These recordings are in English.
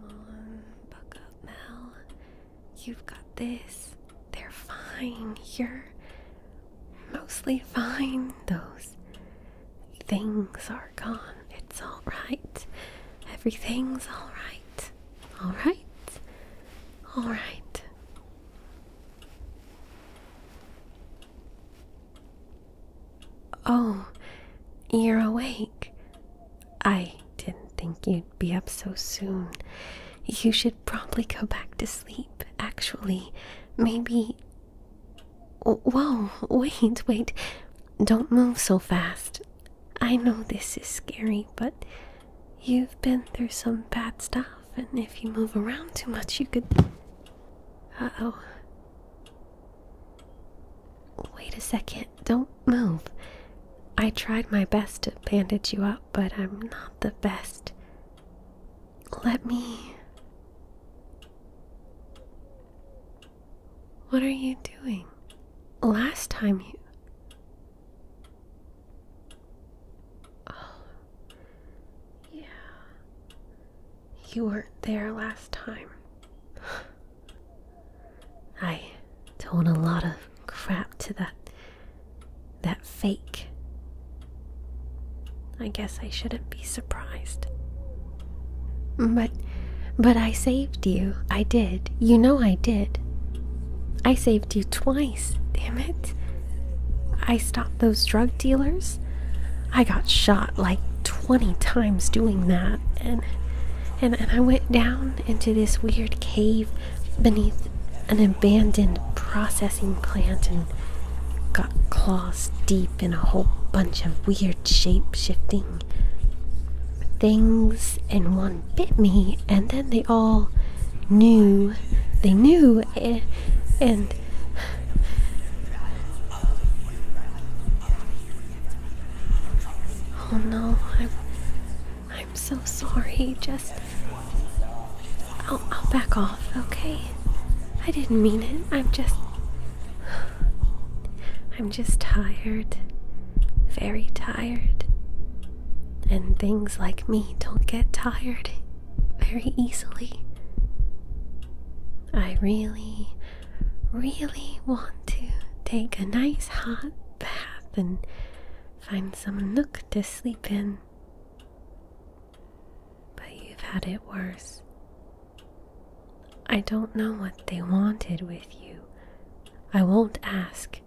Come on, buck up, Mel. You've got this. They're fine. You're mostly fine. Those things are gone. It's alright. Everything's alright. Alright. Alright. Oh, you're awake. I didn't think you'd be up so soon. You should probably go back to sleep, actually. Maybe. Whoa, wait, wait. Don't move so fast. I know this is scary, but you've been through some bad stuff, and if you move around too much, you could. Uh oh. Wait a second, don't move. I tried my best to bandage you up, but I'm not the best. Let me. What are you doing? Last time you. Oh. Yeah. You weren't there last time. I told a lot of crap to that that fake. I guess I shouldn't be surprised. But but I saved you. I did. You know I did. I saved you twice, damn it. I stopped those drug dealers. I got shot like 20 times doing that and and, and I went down into this weird cave beneath an abandoned processing plant and got claws deep in a whole bunch of weird shape shifting things, and one bit me, and then they all knew they knew, eh, and, and Oh no, I'm I'm so sorry. Just I'll I'll back off, okay? I didn't mean it. I'm just I'm just tired. Very tired. And things like me don't get tired very easily. I really really want to take a nice hot bath and find some nook to sleep in. But you've had it worse. I don't know what they wanted with you. I won't ask,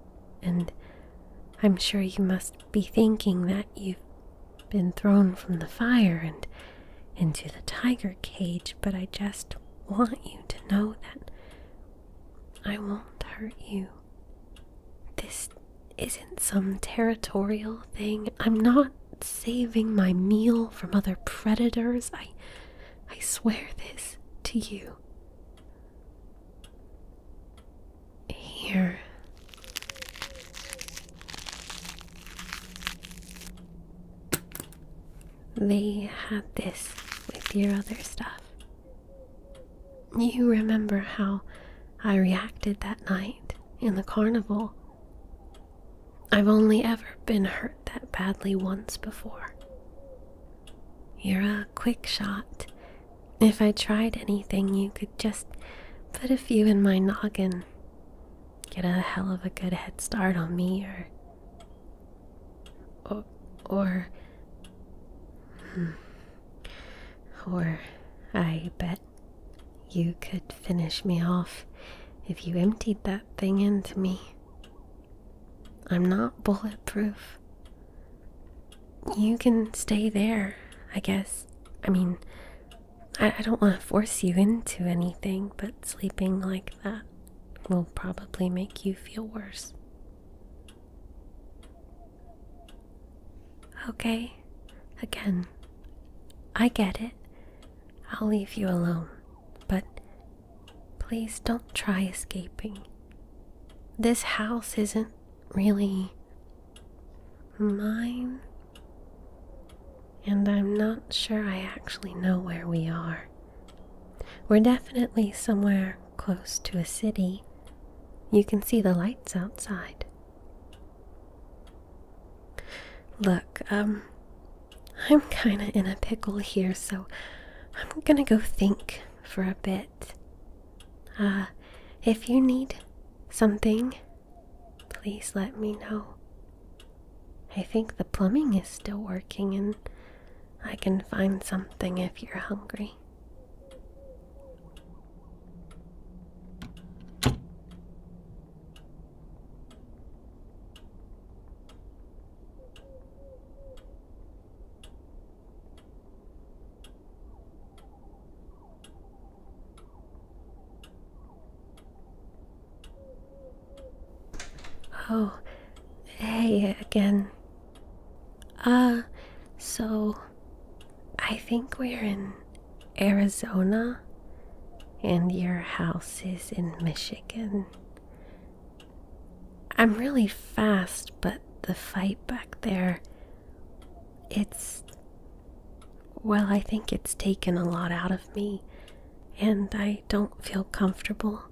and I'm sure you must be thinking that you've been thrown from the fire and into the tiger cage, but I just want you to know that I won't hurt you. This isn't some territorial thing. I'm not saving my meal from other predators. I I swear this to you. Here. They had this with your other stuff. You remember how I reacted that night in the carnival. I've only ever been hurt that badly once before. You're a quick shot. If I tried anything, you could just put a few in my noggin get a hell of a good head start on me or or hmm. or, I bet you could finish me off if you emptied that thing into me. I'm not bulletproof. You can stay there, I guess. I mean, I, don't want to force you into anything, but sleeping like that will probably make you feel worse. Okay, again, I get it. I'll leave you alone, but please don't try escaping. This house isn't really mine, and I'm not sure I actually know where we are. We're definitely somewhere close to a city. You can see the lights outside. Look, um, I'm kinda in a pickle here, so I'm gonna go think for a bit. Uh, if you need something, please let me know. I think the plumbing is still working, and I can find something if you're hungry. Oh, hey again. Uh, so I think we're in Arizona and your house is in Michigan. I'm really fast, but the fight back there, it's. Well, I think it's taken a lot out of me and I don't feel comfortable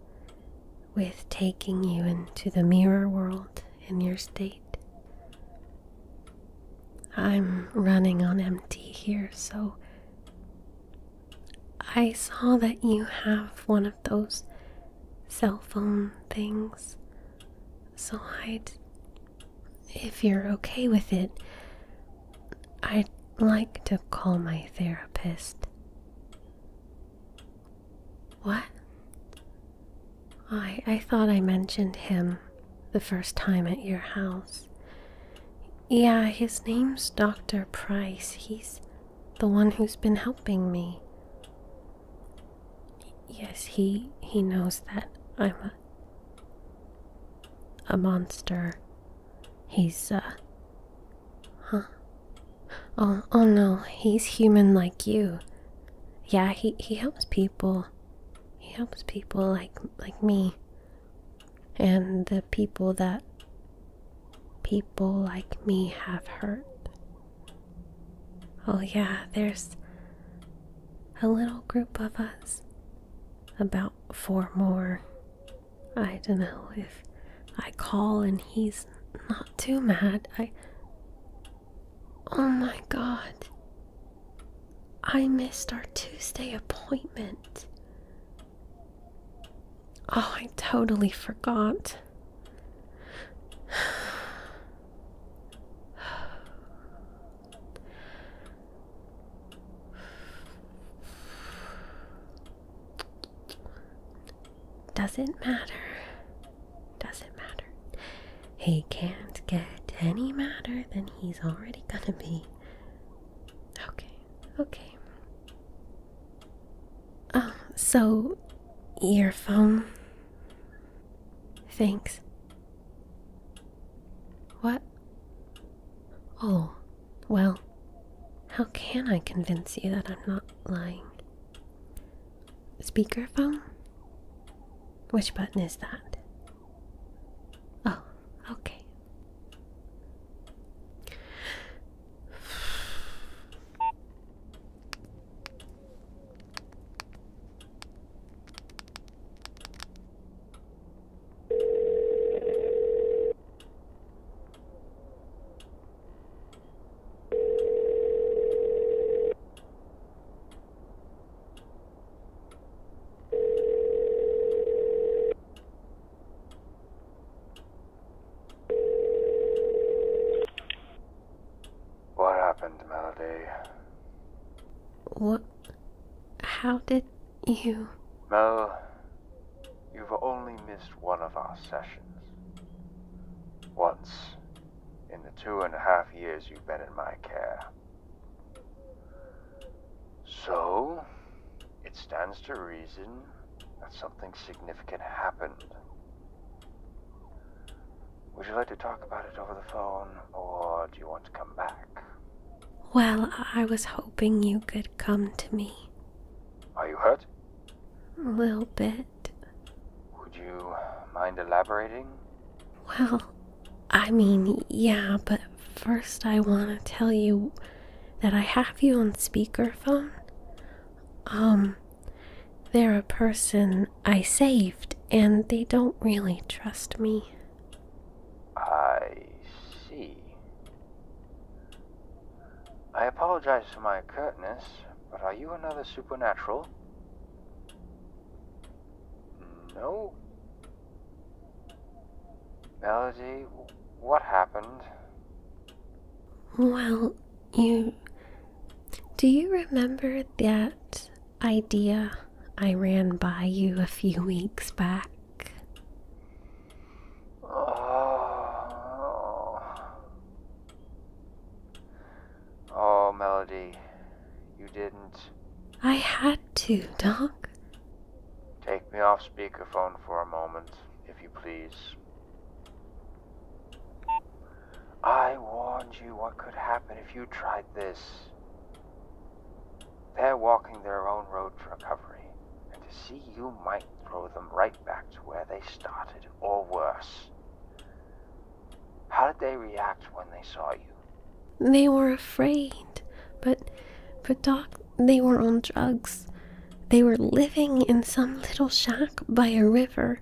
with taking you into the mirror world in your state. I'm running on empty here, so I saw that you have one of those cell phone things, so I'd, if you're okay with it, I'd like to call my therapist. What? I I thought I mentioned him the first time at your house. Yeah, his name's Dr. Price. He's the one who's been helping me. Yes, he he knows that I'm a a monster. He's, uh. Huh? Oh, oh no, he's human like you. Yeah, he, he helps people. He helps people like like me. And the people that people like me have hurt. Oh yeah, there's a little group of us. About about four more. I don't know if I call and he's not too mad. I. Oh my god. I missed our Tuesday appointment. Oh, I totally forgot. Doesn't matter. Doesn't matter. He can't get any madder than he's already gonna be. Okay, okay. Oh, so earphone. Thanks. What Oh, well, how can I convince you that I'm not lying? Speakerphone? Which button is that? Oh, okay. What? happened, What? How did you. Mel, you've only missed one of our sessions. Once, in the two and a half years you've been in my care. So, it stands to reason that something significant happened. Would you like to talk about it over the phone, or do you want come back. Well, I was hoping you could come to me. Are you hurt? A little bit. Would you mind elaborating? Well, I mean, yeah, but first I want to tell you that I have you on speakerphone. Um, they're a person I saved, and they don't really trust me. I see. I apologize for my curtness, but are you another supernatural? No. Melody, what happened? Well, you. Do you remember that idea I ran by you a few weeks back? Oh, oh Melody, you didn't. I had to, Doc. Take me off speakerphone for a moment, if you please. I warned you what could happen if you tried this. They're walking their own road to recovery, and to see you might throw them right back to where they started, or worse. How did they react when they saw you? They were afraid, but, but Doc, they were on drugs. They were living in some little shack by a river,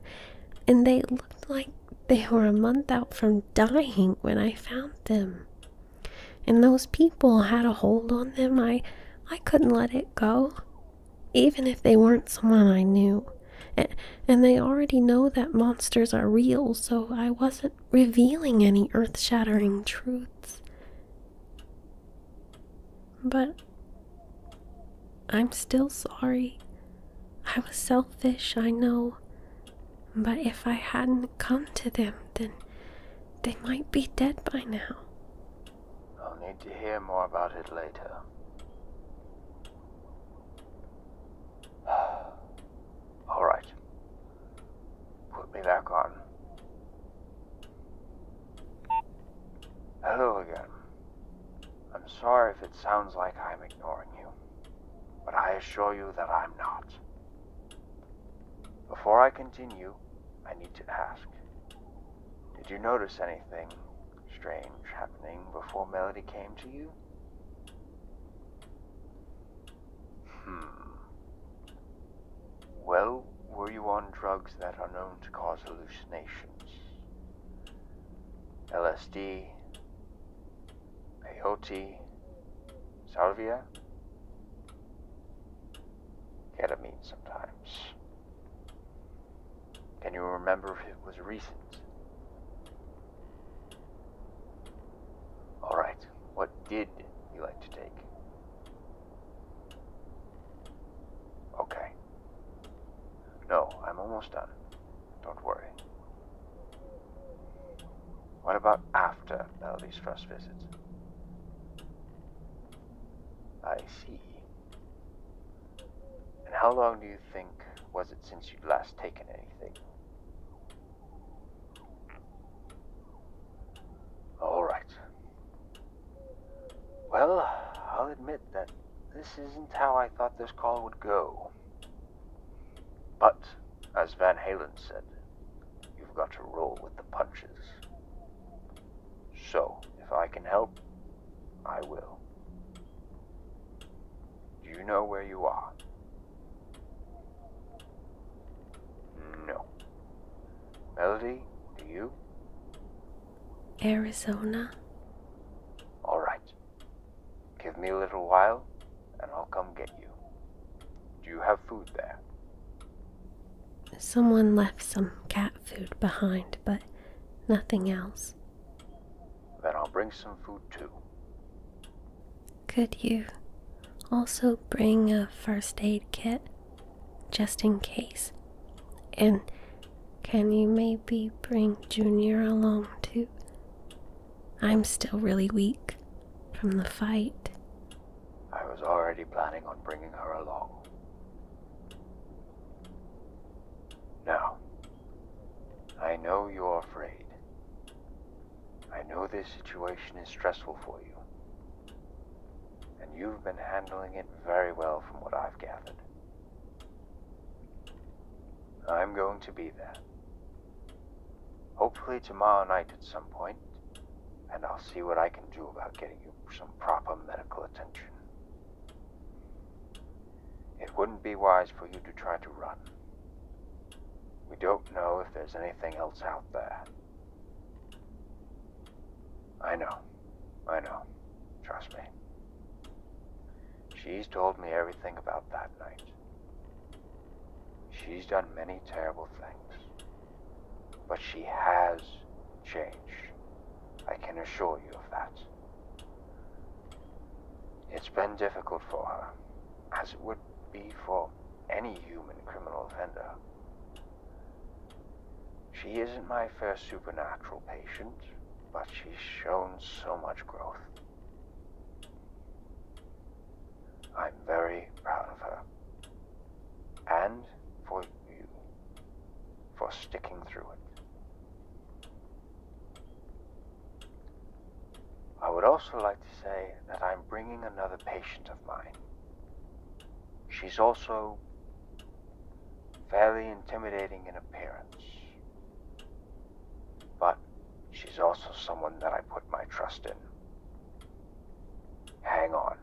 and they looked like they were a month out from dying when I found them and those people had a hold on them i i couldn't let it go even if they weren't someone i knew and, and they already know that monsters are real so i wasn't revealing any earth-shattering truths but i'm still sorry i was selfish i know but if I hadn't come to them, then they might be dead by now. I'll need to hear more about it later. Alright. Put me back on. Hello again. I'm sorry if it sounds like I'm ignoring you. But I assure you that I'm not. Before I continue, I need to ask. Did you notice anything strange happening before Melody came to you? Hmm. Well, were you on drugs that are known to cause hallucinations? LSD, Peyote, salvia, ketamine sometimes. Can you remember if it was recent? All right, what did you like to take? Okay. No, I'm almost done. Don't worry. What about after Melody's first visits? I see. And how long do you think was it since you'd last taken anything? All right. Well, I'll admit that this isn't how I thought this call would go. But, as Van Halen said, you've got to roll with the punches. So, if I can help, I will. Do you know where you are? No. Melody, do you? Arizona. All right. Give me a little while, and I'll come get you. Do you have food there? Someone left some cat food behind, but nothing else. Then I'll bring some food too. Could you also bring a first aid kit just in case? And can you maybe bring Junior along too? I'm still really weak from the fight. I was already planning on bringing her along. Now, I know you're afraid. I know this situation is stressful for you. And you've been handling it very well from what I've gathered. I'm going to be there, Hopefully tomorrow night at some point, and I'll see what I can do about getting you some proper medical attention. It wouldn't be wise for you to try to run. We don't know if there's anything else out there. I know. I know. Trust me. She's told me everything about that night. She's done many terrible things, but she has changed. I can assure you of that. It's been difficult for her, as it would be for any human criminal offender. She isn't my first supernatural patient, but she's shown so much growth. I'm very proud of her. And for you, for sticking through it. I would also like to say that I'm bringing another patient of mine. She's also fairly intimidating in appearance. But she's also someone that I put my trust in. Hang on.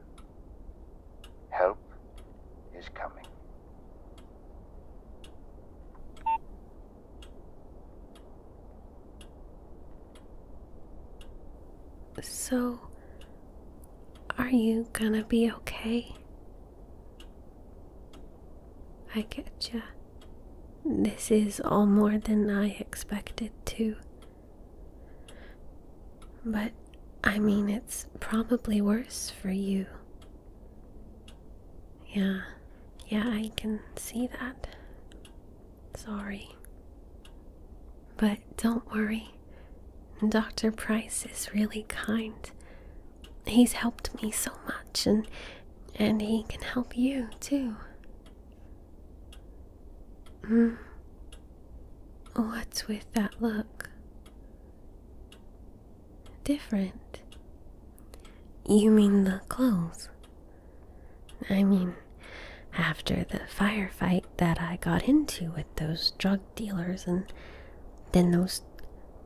Help is coming. So, are you gonna be okay? I getcha. This is all more than I expected, too. But I mean, it's probably worse for you. Yeah, yeah, I can see that. Sorry. But don't worry. Dr. Price is really kind. He's helped me so much and and he can help you too. Hmm. What's with that look? Different. You mean the clothes? I mean, after the firefight that I got into with those drug dealers and then those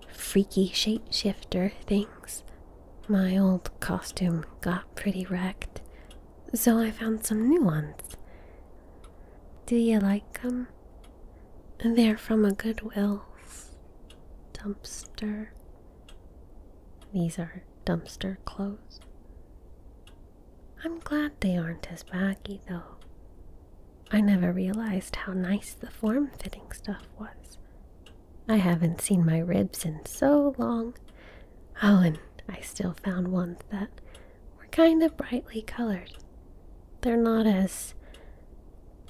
freaky shapeshifter things my old costume got pretty wrecked, so I found some new ones. Do you like They're from a Goodwill's dumpster. These are dumpster clothes. I'm glad they aren't as baggy, though. I never realized how nice the form fitting stuff was. I haven't seen my ribs in so long. Oh, and I still found ones that were kind of brightly colored. They're not as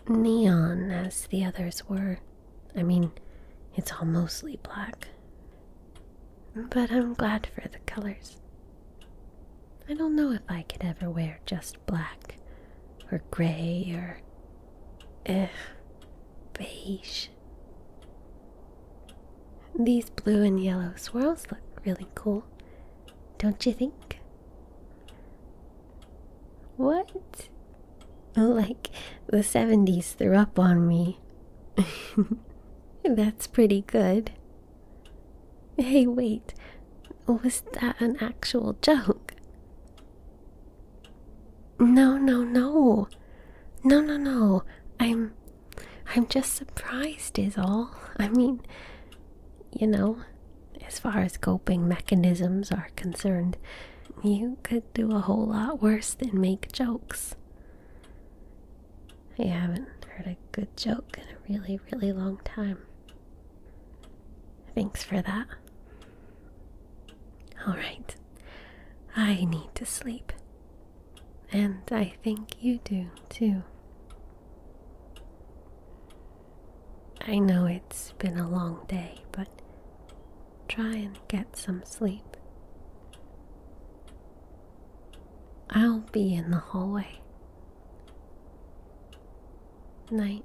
neon as the others were. I mean, it's all mostly black. But I'm glad for the colors. I don't know if I could ever wear just black or gray or Ugh, beige. These blue and yellow swirls look really cool, don't you think? What? Like the 70s threw up on me. That's pretty good. Hey, wait, was that an actual joke? No, no, no. No, no, no. I'm I'm just surprised is all. I mean, you know, as far as coping mechanisms are concerned, you could do a whole lot worse than make jokes. I haven't heard a good joke in a really, really long time. Thanks for that. All right. I need to sleep. And I think you do too. I know it's been a long day, but try and get some sleep. I'll be in the hallway. Night.